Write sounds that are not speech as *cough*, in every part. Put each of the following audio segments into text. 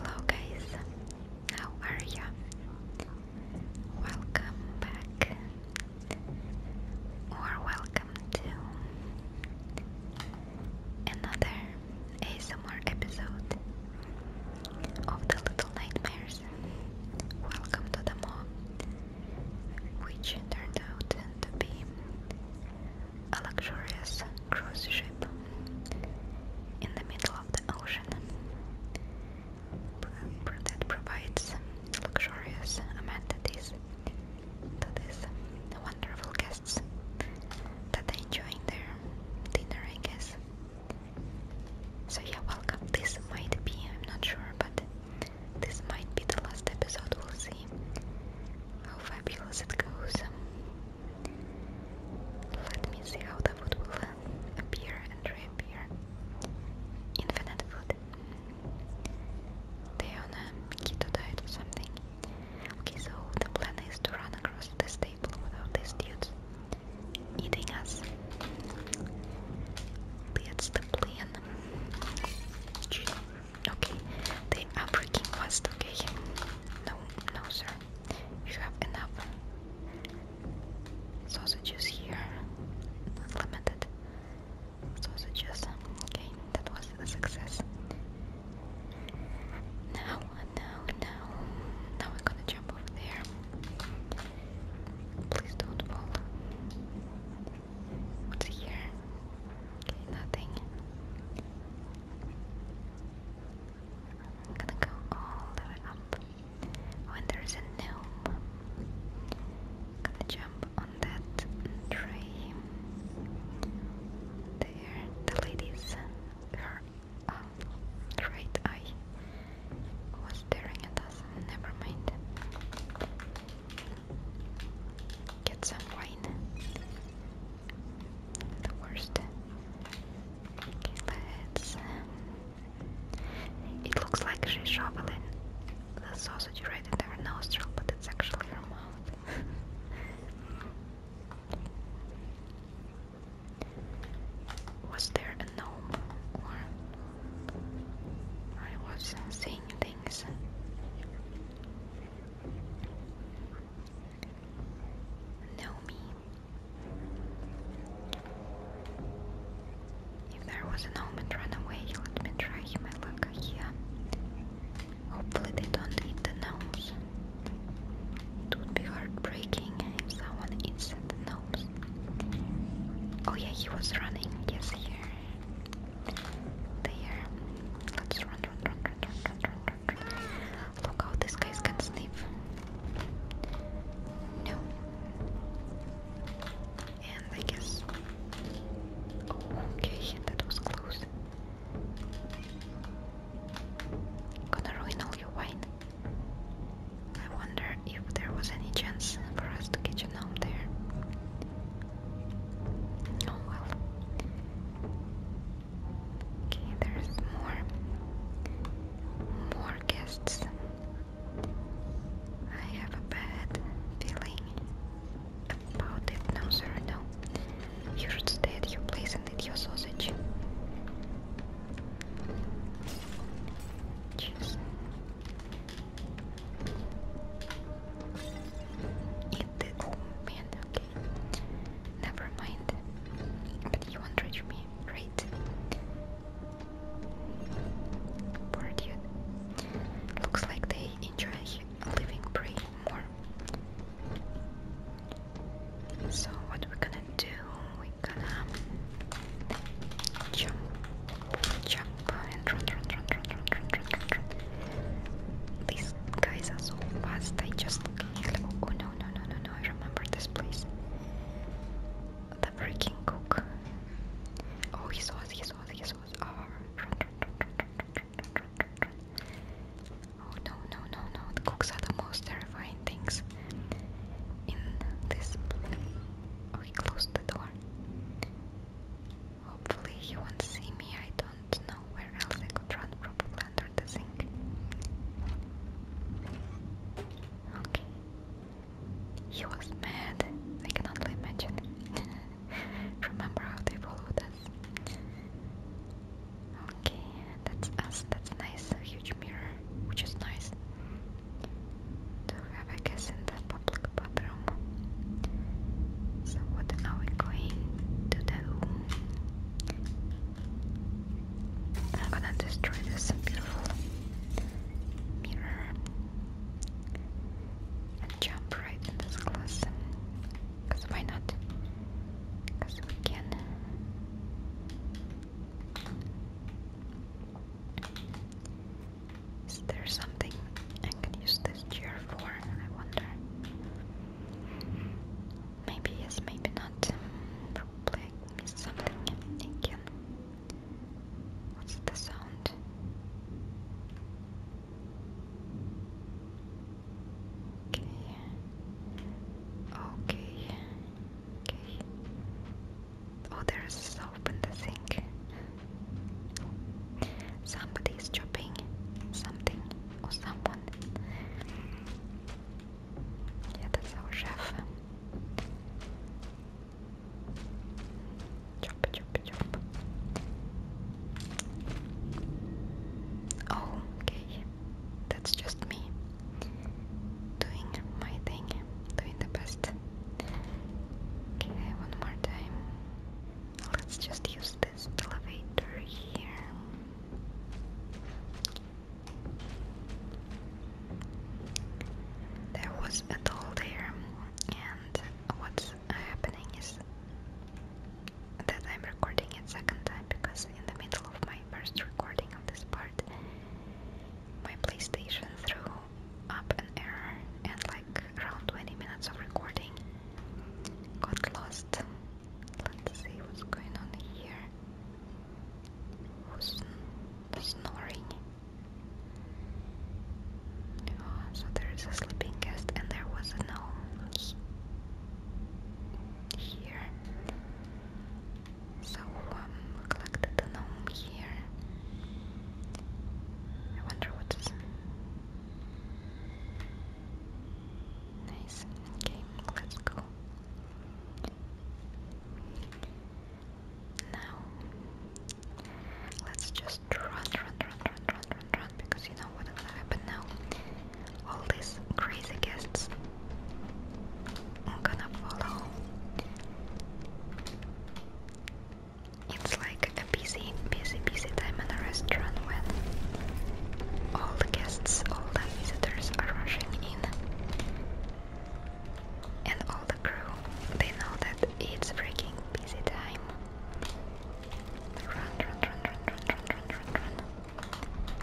Hello guys, how are you? Welcome back or welcome to another ASMR episode of the Little Nightmares. Welcome to the mall, which turned out to be a luxurious cruise ship in the middle of the ocean that provides luxurious amenities to these wonderful guests that are enjoying their dinner, I guess. So yeah, welcome. This might be, I'm not sure, but this might be the last episode. We'll see how fabulous it goes. Let me see how the food will appear and reappear. Infinite food. They on a keto diet or something. Okay, so the plan is to run across this table without these dudes eating us. That's the plan. Okay, they the upbreaking was okay. No, no, sir you have enough sausages here. Limited sausages. Okay, that was a success. Now, now, now, now we're gonna jump over there. Please don't fall. What's here? Okay, nothing gonna go all the way up. When there's a gnome, gonna jump on that tree. There, the lady's her uh, right eye was staring at us. Never mind. Get some wine the worst. let's. Um, it looks like she's shoveling the sausage right into her nostril, but it's actually her mouth. *laughs* Was there a no Or I was seeing things know me. If there was an omen run away, let me try my luck here. Hopefully they don't eat the gnomes. It would be heartbreaking if someone eats the gnomes. Oh yeah, he was running. Yes, here. There. Let's run, run, run, run, run, run, run. Look how this guys can sniff. No. And I guess. okay, that was close. Gonna ruin all your wine. I wonder if there was any chance for us to catch a gnome there. Oh well. Okay, there's more. More guests. I have a bad feeling about it. No, sir, no. You should stay at your place and eat your sausage. Cheers get the. Oh man, okay. Never mind. But you won't reach me, right? Poor Looks like they enjoy living prey more. So, what we're gonna do, we're gonna jump, jump, and run, run, run, run, run, run, these guys are so fast, I just can Oh no, no, no, no, no, I remember this place. The freaking cook. Oh, he saw he saw he saw Oh, no, no, no, no, cooks are the most terrifying things in this. Oh, he closed the door. Hopefully he won't see me, I don't know where else I could run probably under the sink. Okay. He was mad, I can only imagine. Remember how they followed us. Okay, that's us, that's nice, huge mirror, which is nice. Do have a guess in the public bathroom? So what are we going to do? I'm gonna destroy this beautiful mirror and jump right in this glass. Cause why not? Cause we can. Is there something I can use this chair for? I wonder. Maybe yes, maybe not. Probably I something What's the sound? Okay. Okay. Okay. Oh, there's soap the sink. Somebody's chopping something someone. Yeah, that's our chef. Chop, chop, chop. Oh, okay. That's just me doing my thing, doing the best. Okay, one more time. Let's just use this elevator here. There was a doll there, and what's happening is that I'm recording it second time because in the middle of my first recording of this part, my PlayStation threw up an error and like around 20 minutes of recording got lost. Let's see what's going on here. Who's snoring? Oh, so there is a sleeping guest, and there was a gnome here. So um, collected the gnome here. I wonder what is Nice game, let's go. Now, let's just run, run, run, run, run, run, run, because you know what will happen now. All these crazy guests are gonna follow. It's like a busy, busy, busy time in a restaurant when all the guests, all the visitors are rushing in. And all the crew, they know that it's freaking busy time. Run, run, run, run, run, run, run, run, run.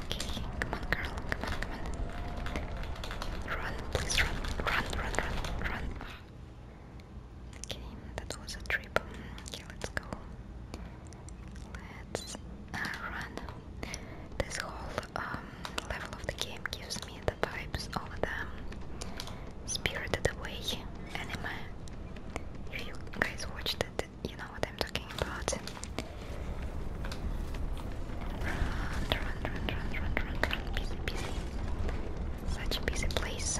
come on, girl, come on, come on. Run, please run, run, run, run, run. Okay, that was a trip. Okay, let's go. Let's uh, run. This whole um, level of the game gives me the vibes of the Spirited Away If you guys watched it, you know what I'm talking about. Run, run, run, run, run, run, run. Busy, busy. Such a busy place.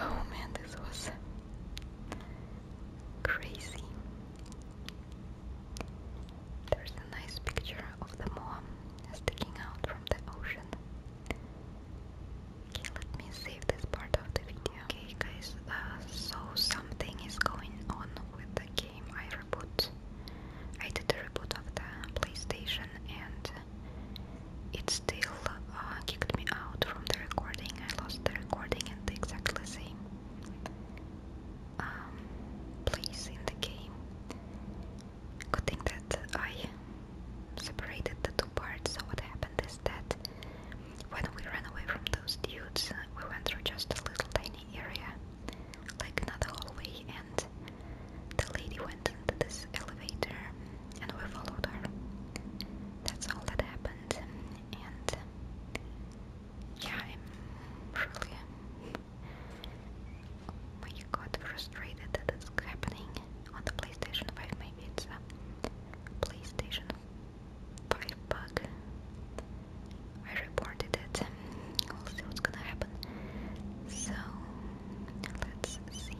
oh man, this was crazy. There's a nice picture of the Moa sticking out from the ocean. Okay, let me save this part of the video. Okay, guys, uh, so something is going on with the game I reboot. I did a reboot of the PlayStation and it still uh, kicked me out from the recording. I lost the recording and the exactly same um, place in the game. Good thing that I separated the two parts. So what happened is that when we ran away from those dudes, we went through just a little tiny area, like another hallway, and the lady went into this elevator and we followed her. That's all that happened. And yeah, I'm really, when you got frustrated that it's happening on the PlayStation 5, maybe it's a PlayStation 5 bug. I reported it. We'll see what's gonna happen. So, let's see.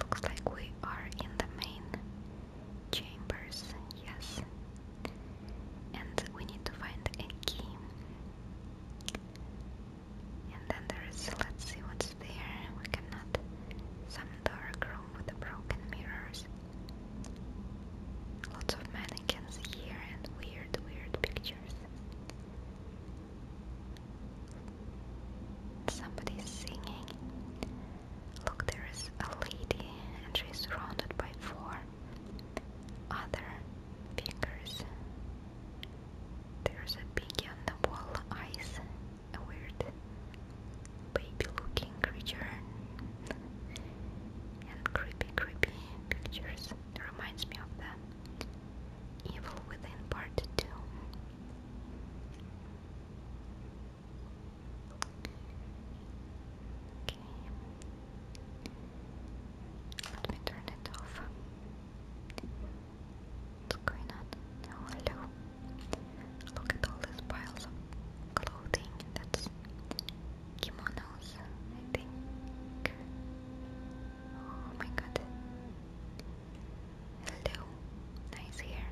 Looks like we are in the main chambers, yes. And we need to find a key. And then there is, let's see what's there. We cannot. Some dark room with broken mirrors. Lots of mannequins here and weird, weird pictures. Somebody's singing. Look, there is a lady, and she's surrounded by four other fingers. There's a piggy on the wall, eyes, a weird baby-looking creature, and creepy, creepy pictures reminds me of that Evil Within Part 2. Okay. Let me turn it off. What's going on? Oh, hello. Look at all these piles of clothing. That's kimonos, I think. Oh my god. Hello. Nice hair.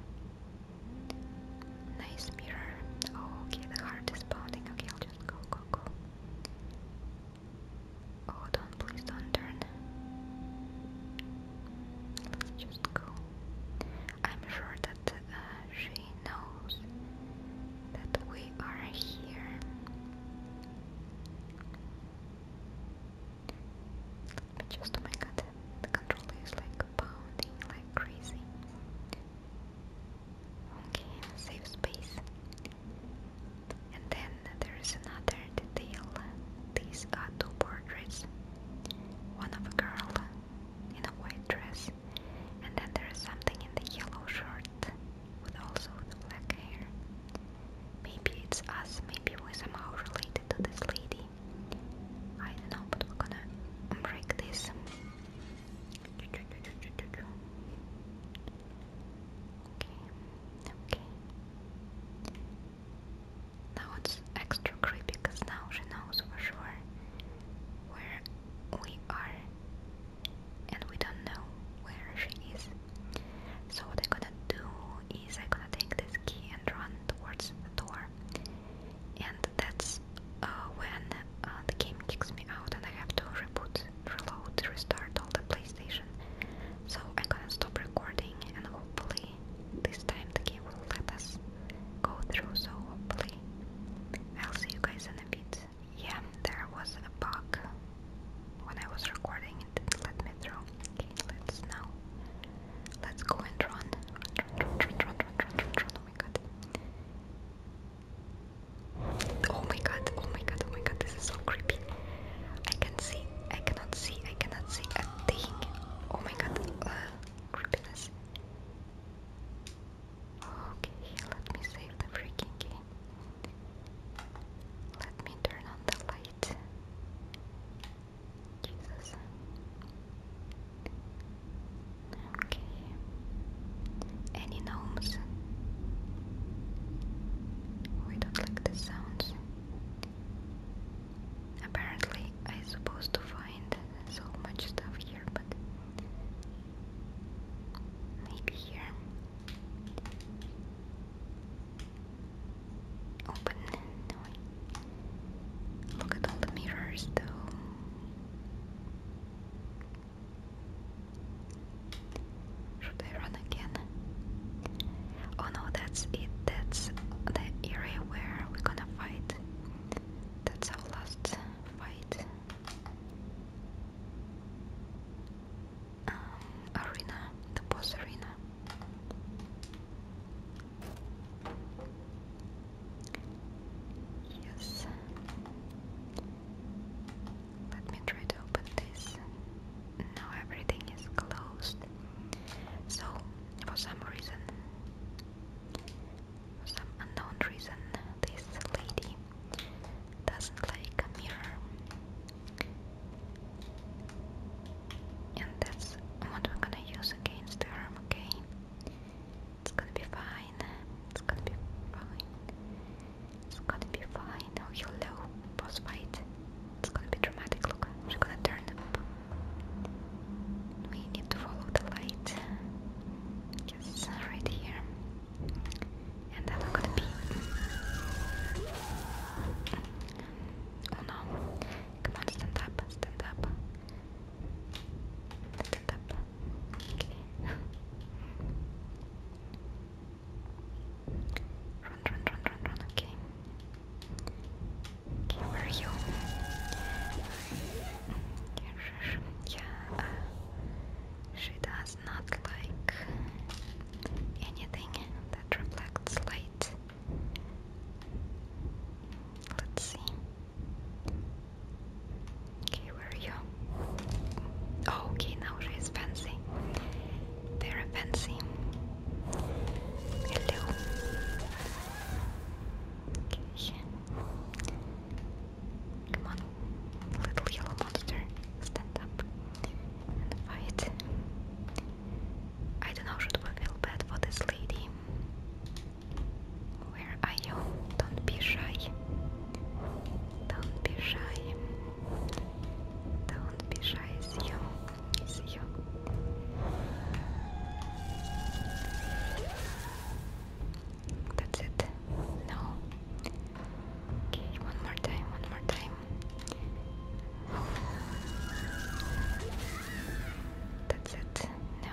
Nice mirror. Oh, okay, the heart is pounding. Okay, I'll just go, go, go. Oh, don't, please don't turn. Let's just go. I'm sure that uh, she knows that we are here. But just oh my god, the controller is like pounding like crazy. Okay, save space. And then there is another detail. These are two portraits. One of a girl in a white dress, and then there is something in the yellow shirt with also the black hair. Maybe it's us, maybe we're somehow related to this lady. I don't know, but we're gonna break this. Okay, okay. Now it's extra creepy because now she knows for sure where we are and we don't know where she is. So what I'm gonna do is I'm gonna take this key and run towards the door, and that's uh, when uh, the game kicks me out and I have to reboot, reload, restart all the PlayStation. So I'm gonna stop recording and hopefully this time the game will let us go through. So hopefully I'll see you guys in a bit yeah, there was a bug when I was recording it. Let me throw. Okay, let's now. Let's go and run. Run, run, run, run, run, run, run. Oh my god. Oh my god, oh my god, oh my god, this is so creepy. I can see, I cannot see, I cannot see a thing. Oh my god, uh, creepiness. Okay, let me save the freaking game. Let me turn on the light. Jesus. Okay. Any gnomes? We don't like the sounds. Apparently, I'm supposed to find so much stuff here, but Maybe here. Open. Look at all the mirrors, though. Should I run again? Oh no, that's it. That's the area where we're gonna fight. That's our last fight. Um, arena, the boss arena. Yes. Let me try to open this. Now everything is closed. So, for some reason, some unknown reason, this lady doesn't like mirror. And that's what we're gonna use against her, okay? It's gonna be fine. It's gonna be fine. It's gonna be fine. Oh, hello, boss fight. It's gonna be dramatic. Look, she's gonna turn up. We need to follow the light. Yes, right here. And then I'm gonna be. Oh no. Come on, stand up, stand up. Stand up. Okay. Run, run, run, run, run, okay. where are you? Yeah, uh, she does not like anything that reflects light. Let's see. Okay, where are you? Oh, okay, now she's fancy. Very fancy. Hello. Okay. Come on, little yellow monster, stand up and fight. I don't know, should we feel bad for this lady? Where are you? Don't be shy. Don't be shy. Don't be shy, see you. That's it. No. Okay, one more time, one more time. That's it. No.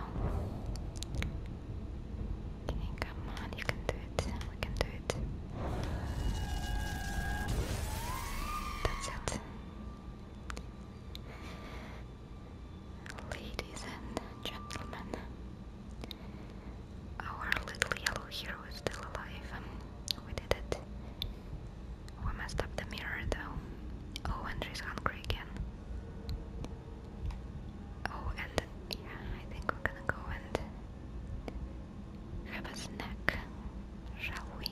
Okay, come on, you can do it. We can do it. That's it. Ladies and gentlemen, our little yellow hero is still alive. we did it. We messed up the mirror though. Oh, Andrew's hungry again. Oh, and yeah, I think we're gonna go and have a snack, shall we?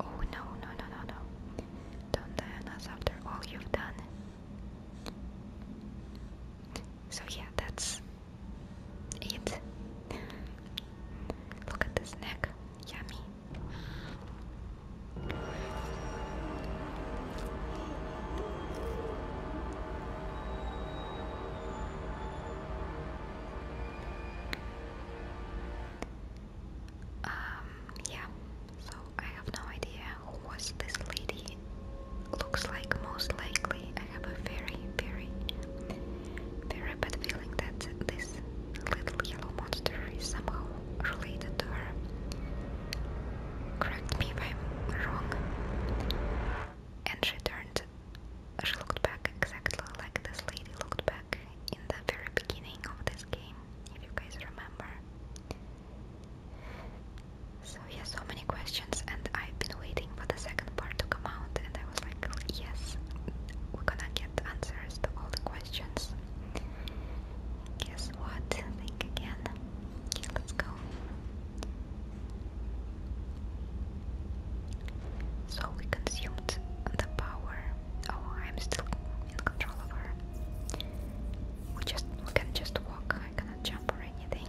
Oh, no, no, no, no, no. Don't die on us after all you've done. So yeah, that's it. Look at this neck, yummy. Um, yeah, so I have no idea who was this lady. Looks like most likely I have a very, very, very bad feeling that this little yellow monster is somehow related to her. Correct me if I'm wrong. And she turned, she looked back exactly like this lady looked back in the very beginning of this game, if you guys remember. So yeah, so many questions, and I've been waiting for the second part to come out, and I was like, yes, we're gonna get answers to all the questions. Guess what? Think again. let's go. So we consumed the power. Oh, I'm still in control of her. We just we can just I cannot jump or anything.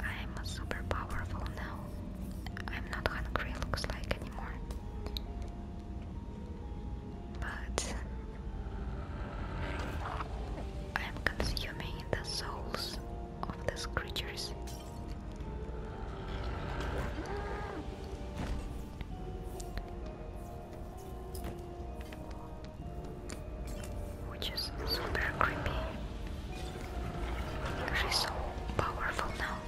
I'm super powerful now. I'm not hungry, looks like anymore. But I'm consuming the souls of these creatures. Which is super creepy. She's so powerful now.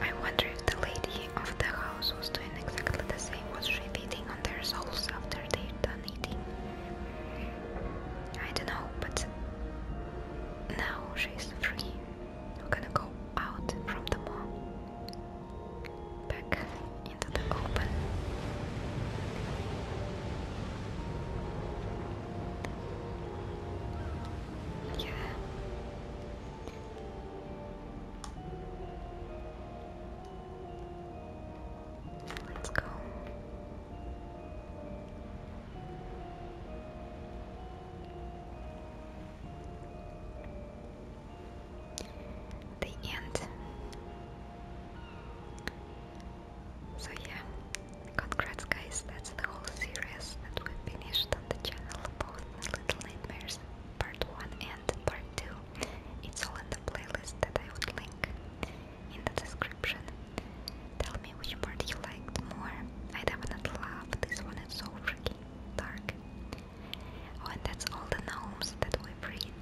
I wonder if the lady of the house was doing exactly the same. Was repeating on their souls after they'd done eating? I don't know, but now she's free. We're gonna go out from the mall, back into the open. Yeah. Let's go. The end. So yeah, congrats guys, that's the whole series that we finished on the channel, both the Little Nightmares Part 1 and Part 2. It's all in the playlist that I would link in the description. Tell me which part you liked more. I definitely love this one, it's so freaking dark. Oh, and that's all the gnomes that we freed,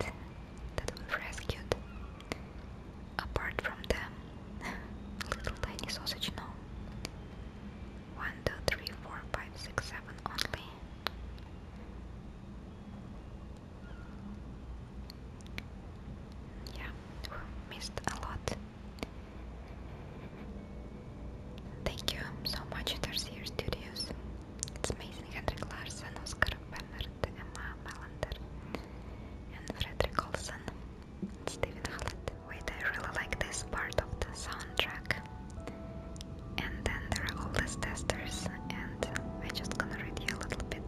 that we rescued. Apart from them, *laughs* little tiny sausage, no. One, two, three, four, five, six, seven only. Yeah, missed a lot. Thank you so much, Tercier Studios. It's amazing, Henrik Larsen, Oscar Bemmert, Emma Melander, and Frederick also. Steven Hallett. Wait, I really like this part of the soundtrack. And then there are all these testers, and i just gonna a little bit.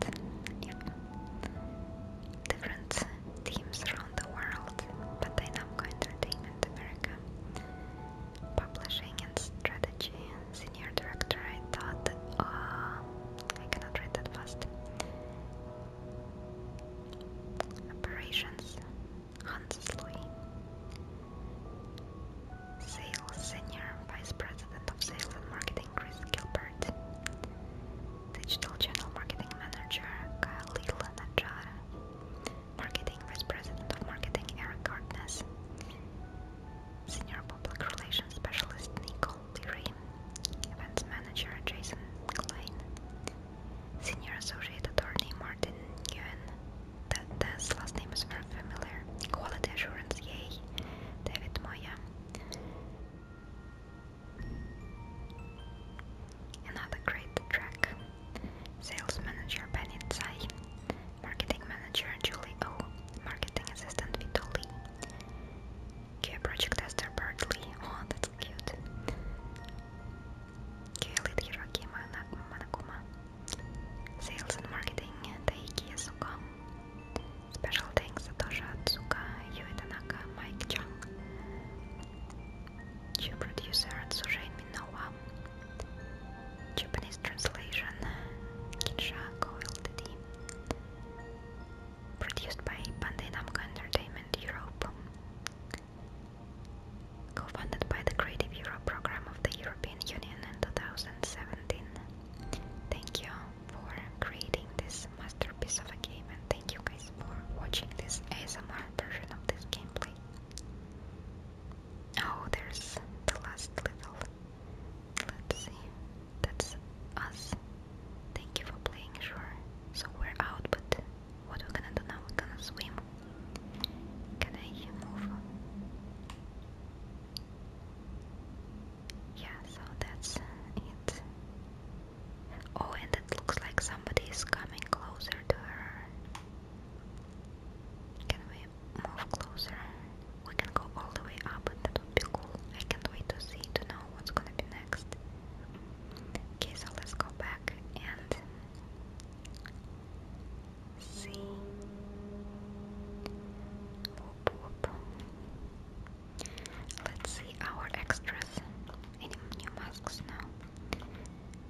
Different teams around the world, but Dynamco Entertainment America. Publishing and Strategy Senior Director, I thought, uh, I cannot read that fast. Operations Hansloy. Sales Senior Vice President of Sales and Marketing Chris Gilbert. Digital Channel Marketing Manager Khalil Najjar. Marketing Vice President of Marketing Eric Gardness. Senior Public Relations Specialist Nico Dream, Events Manager Jason Klein, Senior Associate Attorney Martin Yuan. that last name is very familiar, Quality Assurance, yay, David Moya. Another great track, Sales Manager Benny Marketing Manager Julie O, Marketing Assistant Vito Lee, Okay, Project Esther Bartley. Oh, that's cute. Okay, lead Hiroki Manakuma. Sales and marketing, Taiki Yasuko. Special thanks, Satoshi Atsuka, Yui Tanaka, Mike Chung. Chief producer, Tsushei Minowa. Japanese translation, Kinsha Co Ltd produced by Bandai Entertainment Europe, co-funded by the Creative Europe program of the European Union in 2017. Thank you for creating this masterpiece of a game, and thank you guys for watching this ASMR version of this gameplay. Oh, there's the last level. Let's see that's us. Thank you for playing, sure. So we're out, but what we're gonna do now? We're gonna swim. Can I move? Yeah, so that's it. Oh, and it looks like somebody is coming closer to her. Can we move closer? We can go all the way up, that would be cool. I can't wait to see, to know what's gonna be next. Okay, so let's go back and see. Let's see our extras. Any new masks now?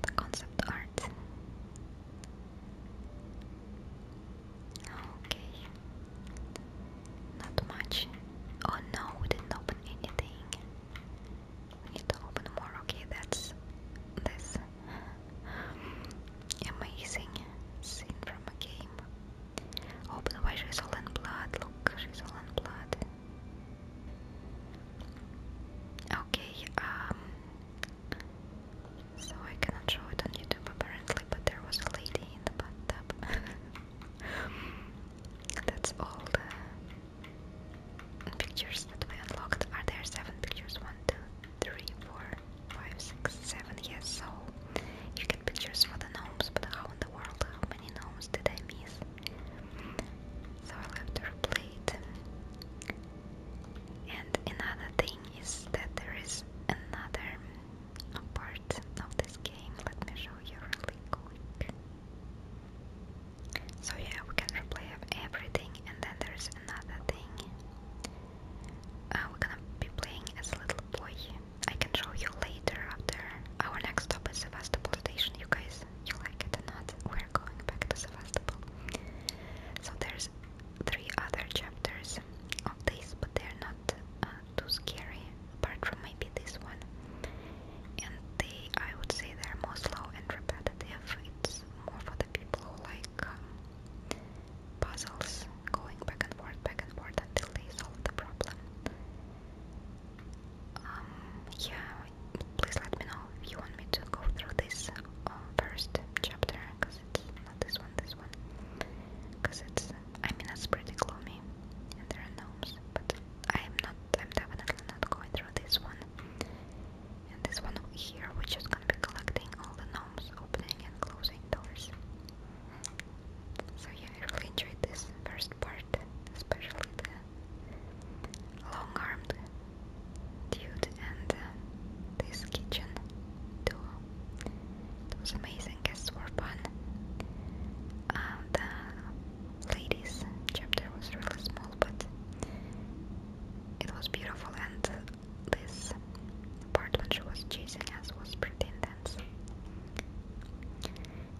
The concept art. Okay. Not much. Oh no, we didn't open anything. We need to open more. Okay, that's this amazing scene from a game. Oh, why she's all in blood? Look, she's all in blood. Okay, um, so I cannot show it on YouTube apparently but there was a lady in the bathtub. *laughs* That's all the pictures that we unlocked. Are there seven pictures? One, two, three, four, five, six, seven. Yes, so you get pictures for the gnomes, but how in the world? How many gnomes did I miss? So i left have to And another thing is that there is another a part of this game. Let me show you really quick. So yeah, we can replay everything, and then there's another thing. Uh, we're gonna be playing as a little boy. I can show you later after. Our next stop is Sevastopol Station. You guys, you like it or not? We're going back to Sevastopol. So there's three other chapters of this, but they're not uh, too scary, apart from maybe this one. And they, I would say, they're more slow and repetitive. It's more for the people who like um, puzzles, going back and forth, back and forth until they solve the problem. Um, yeah, please let me know if you want me to go through this uh, first chapter, not this one, this one. Because it's, I mean, it's pretty gloomy and there are gnomes, but I'm not, I'm definitely not going through this one. And this one here, which is gonna be collecting all the gnomes, opening and closing doors. So yeah, I really enjoyed this first part, especially the long-armed dude and uh, this kitchen door. Those amazing guests were fun. Uh, the ladies chapter was really small, but it was beautiful, and this part when she was chasing us was pretty intense.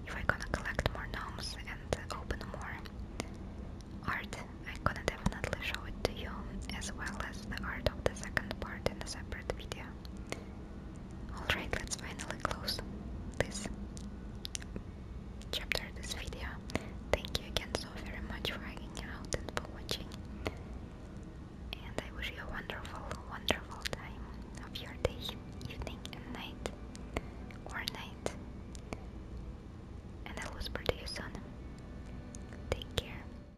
If I'm gonna collect more gnomes and open more art, I'm gonna definitely show it to you, as well as the art of the second part in a separate video. Alright, let's finally close this chapter, this video. Thank you again so very much for hanging out and for watching. And I wish you a wonderful, wonderful time of your day, evening, and night. Or night. And I will speak to you Take care.